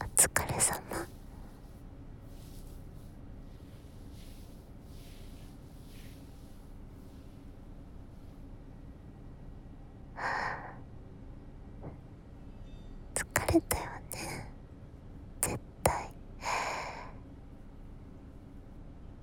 お疲れ様疲れたよね絶対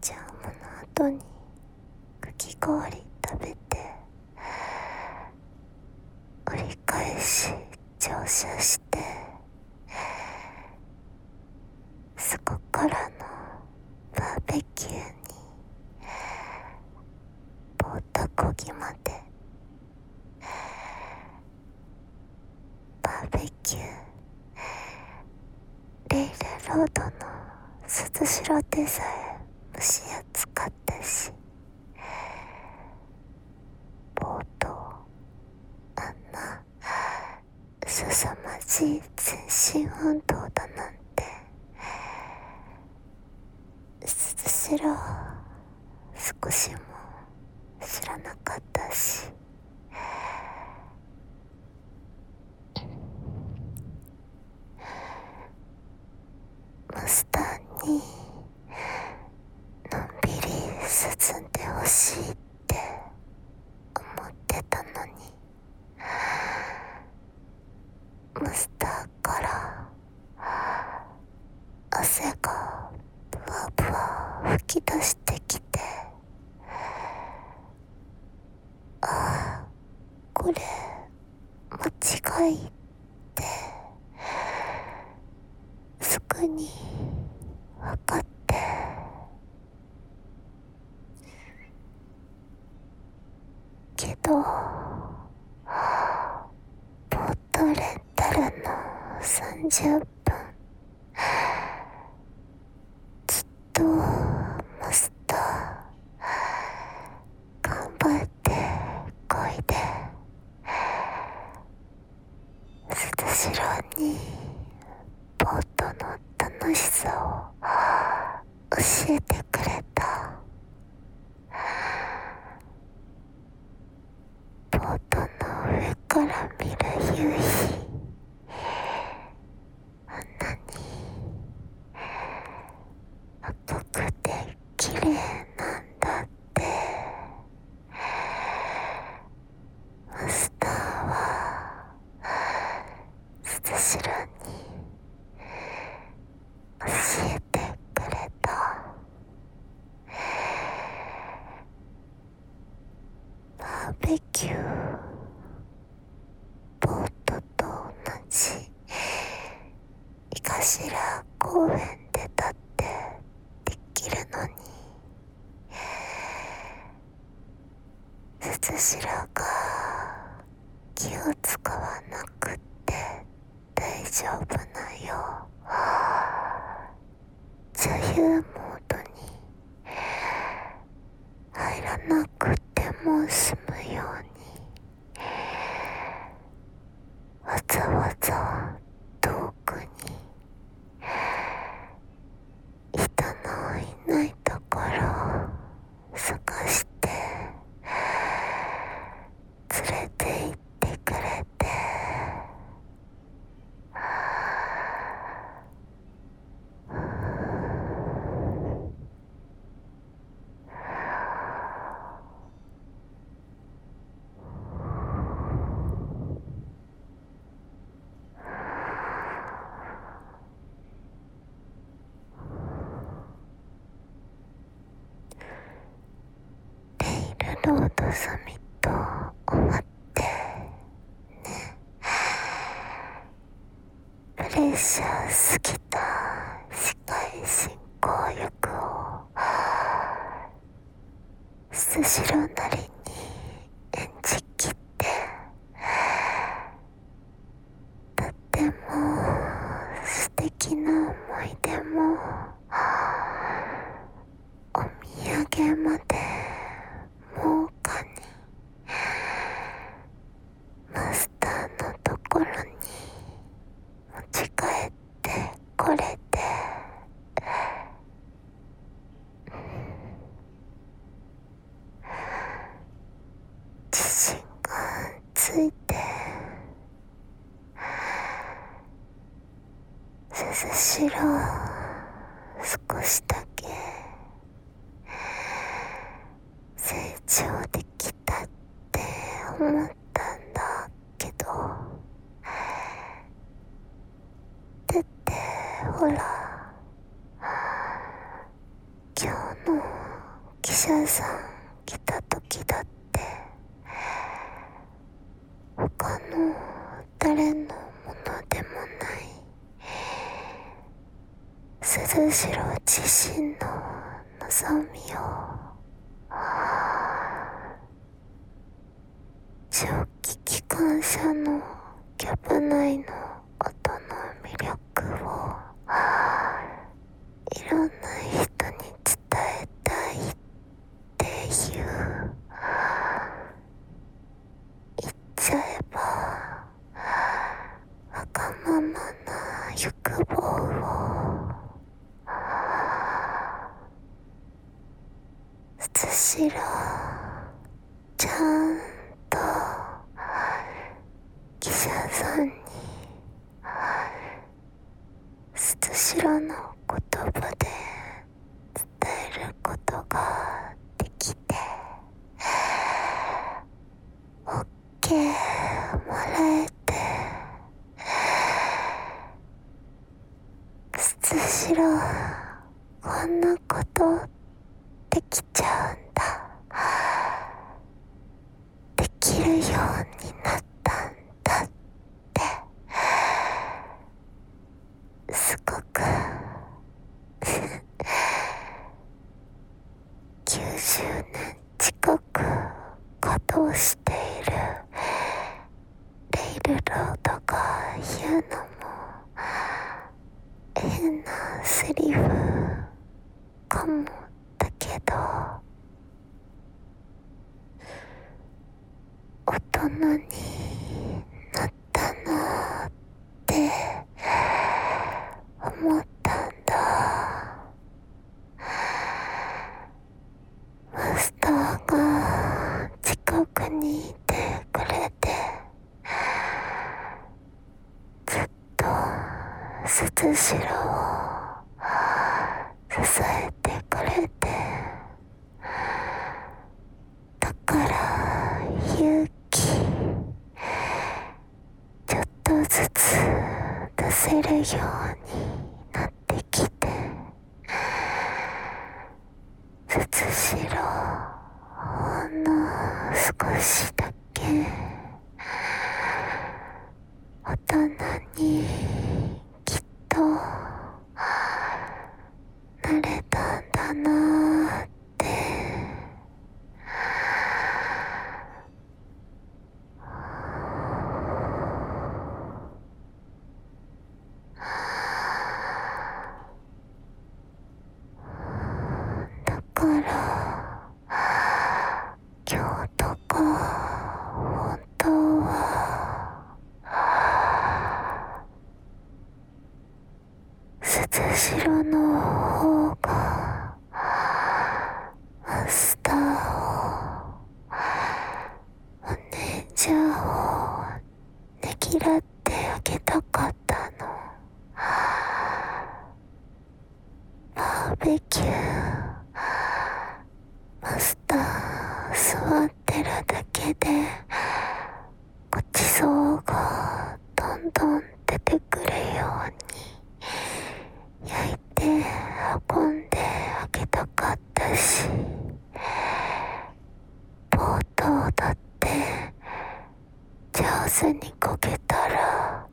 じゃあもの後にかき氷食べて。折り返し乗車してそこからのバーベキューにボートこぎまでバーベキューレイルロードの鈴代でさえ蒸し暑かったし冒頭あんな凄まじい全身運動だなんてすら少しも知らなかったし。マスターにのんびり進んでほしいって思ってたのにマスターから汗がブワブワ吹き出してきてああこれ間違いってすぐに分かってけどポートレンタルの30分ずっとマスター頑張ってこいで捨て城にボートの楽しさを教えてくれたボートの上から見る夕日あんなに細くて綺麗なんだってマスターは鈴代に教えてくれたバーベキューボートと同じ井頭公園で立ってできるのに筒らが気を使わなくて大丈夫なよそういうモードに入らなくても済むようにわざわざ遠くに人のいないところを探して連れて行ってくれてはレイルロードサミット終わってね練習すぎた司会進行役をスシローなりに演じきってとっても素敵な思い出もお土産までもうかに…マスターのところに持ち帰ってこれて自信がついて涼しろ少しだけ成長できしって思ったんだけどだってほら今日の記者さん来た時だって他の誰のものでもない鈴代自身の望みを蒸気機関車のキャブ内の音の魅力をいろんな人に伝えたいっていう言っちゃえばわがままな欲望をつしろちゃんと記者さんにつしろの言葉で伝えることができて OK てもらえてつしろこんなことできちゃうんだできるようになったんだってすごく90年近く稼働しているレイルロードが言うのも変なセリフかもだけど大人になったなって思ったんだマスターが近くにいてくれてずっと鈴代を支えてくれてだから勇気ちょっとずつ出せるようになってきてつしろほんの少しだけ大人にきっとなれたんだなってだから今日とか本当は鈴代の方がマスターをお姉ちゃんをねぎらってあげたかったのバーベキューマスター座ってるだけでごちそうがどんどん出てくるように焼いて運んであげたかったし冒頭だって上手にこけたら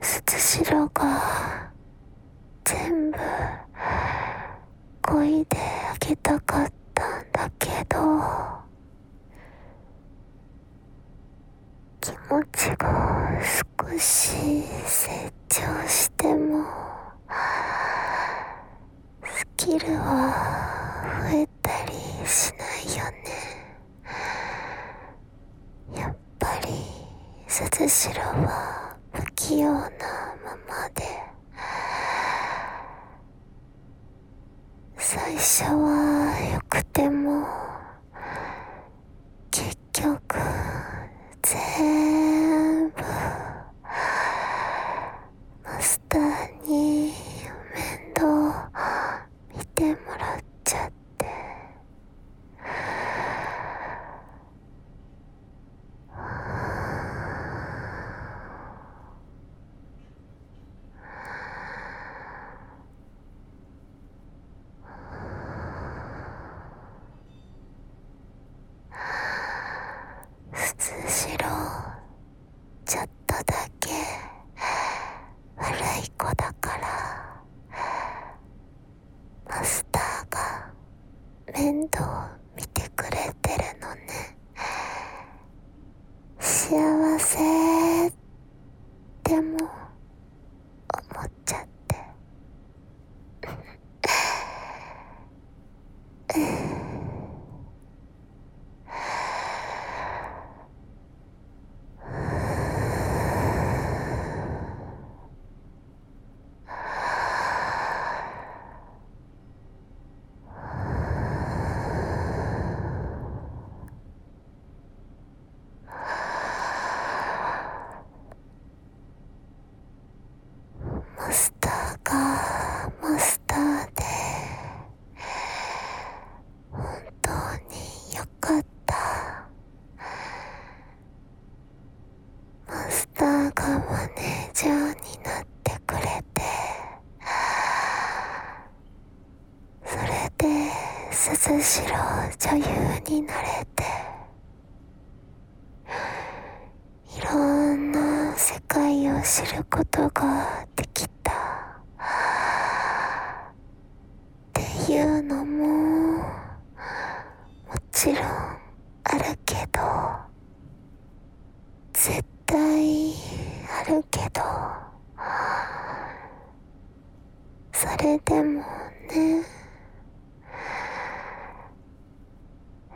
鈴代が全部こいであげたかったんだけど気持ちが少し成長してもスキルは増えたりしないよねやっぱり鈴代は不器用なままで最初はよくても結局全部マスターに面倒見てもらっちゃってふ普通しろちょっとだけ悪い子だからマスターが面倒見てくれてるのね幸せでも思っちゃってはマスターがマスターで本当によかったマスターがマネージャーになってくれてそれで鈴代女優になれていろんな世界を知ることができたっていうのももちろんあるけど絶対あるけどそれでもね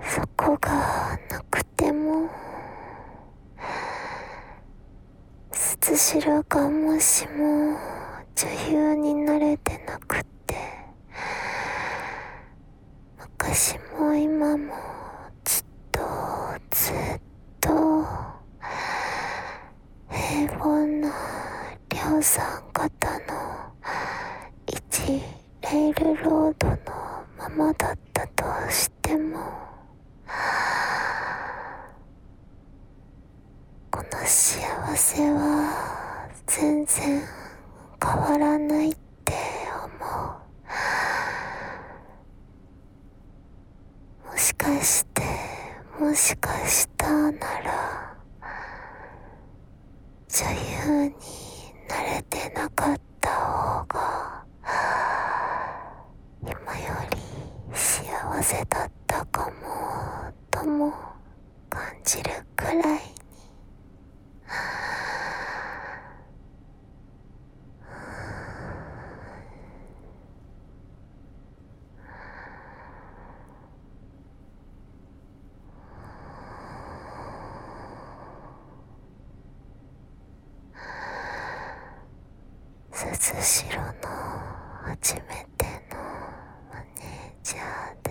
そこがなくてもつし代がもしも女優になれてなくて私も今もずっとずっとと平凡な量産型の1レイルロードのままだったとしてもこの幸せは全然変わらないって思うもしかしてもしかしたなら女優になれてなかった方が今より幸せだったかもとも感じるくらいにあすずしろの初めてのマネージャーで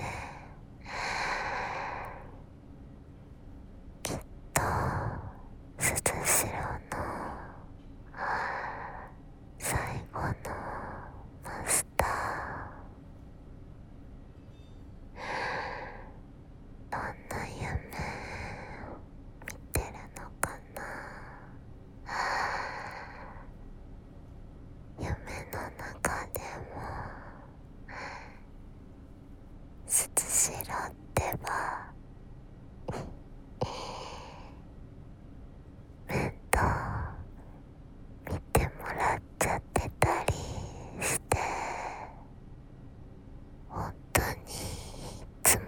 きっとすずしろの最後のマスターどんな夢見てるのかな夢の中でも「すつしろ」ってばうんと見てもらっちゃってたりして本当にいつも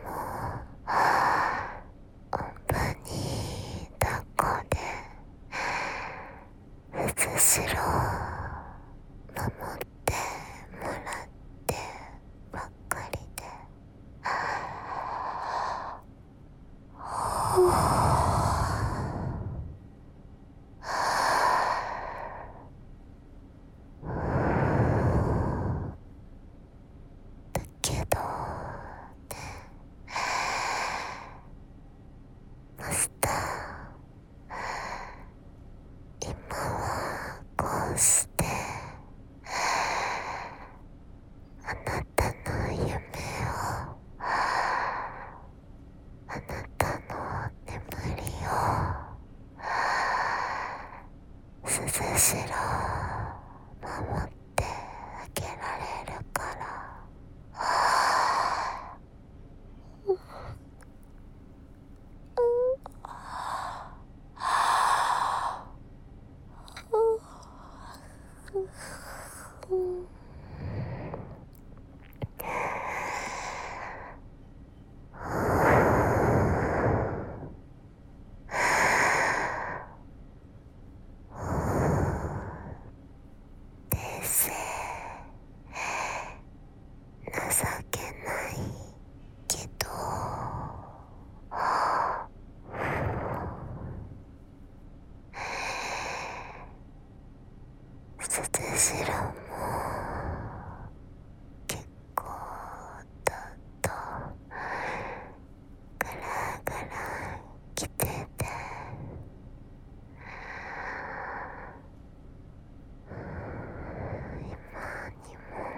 おんぶに抱っこでうずしろ守ってもらってばっかりで。はあ。だけどねマスター今はこうして。あなたの夢をあなたの眠りを涼しろ守ってあげられるからははは情けない。けど鈴代も結構ふとふラふラふてふ今ふも。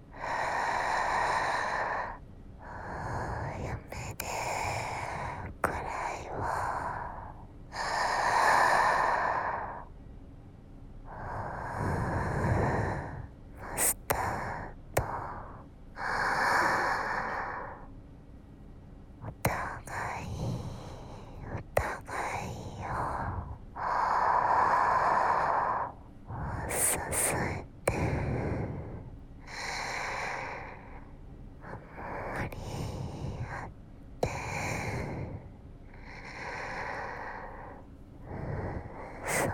やめてくらいはマスターとお互いお互いを支えてあんまりやってそ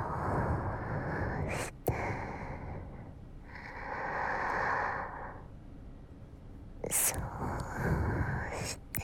うしてそうして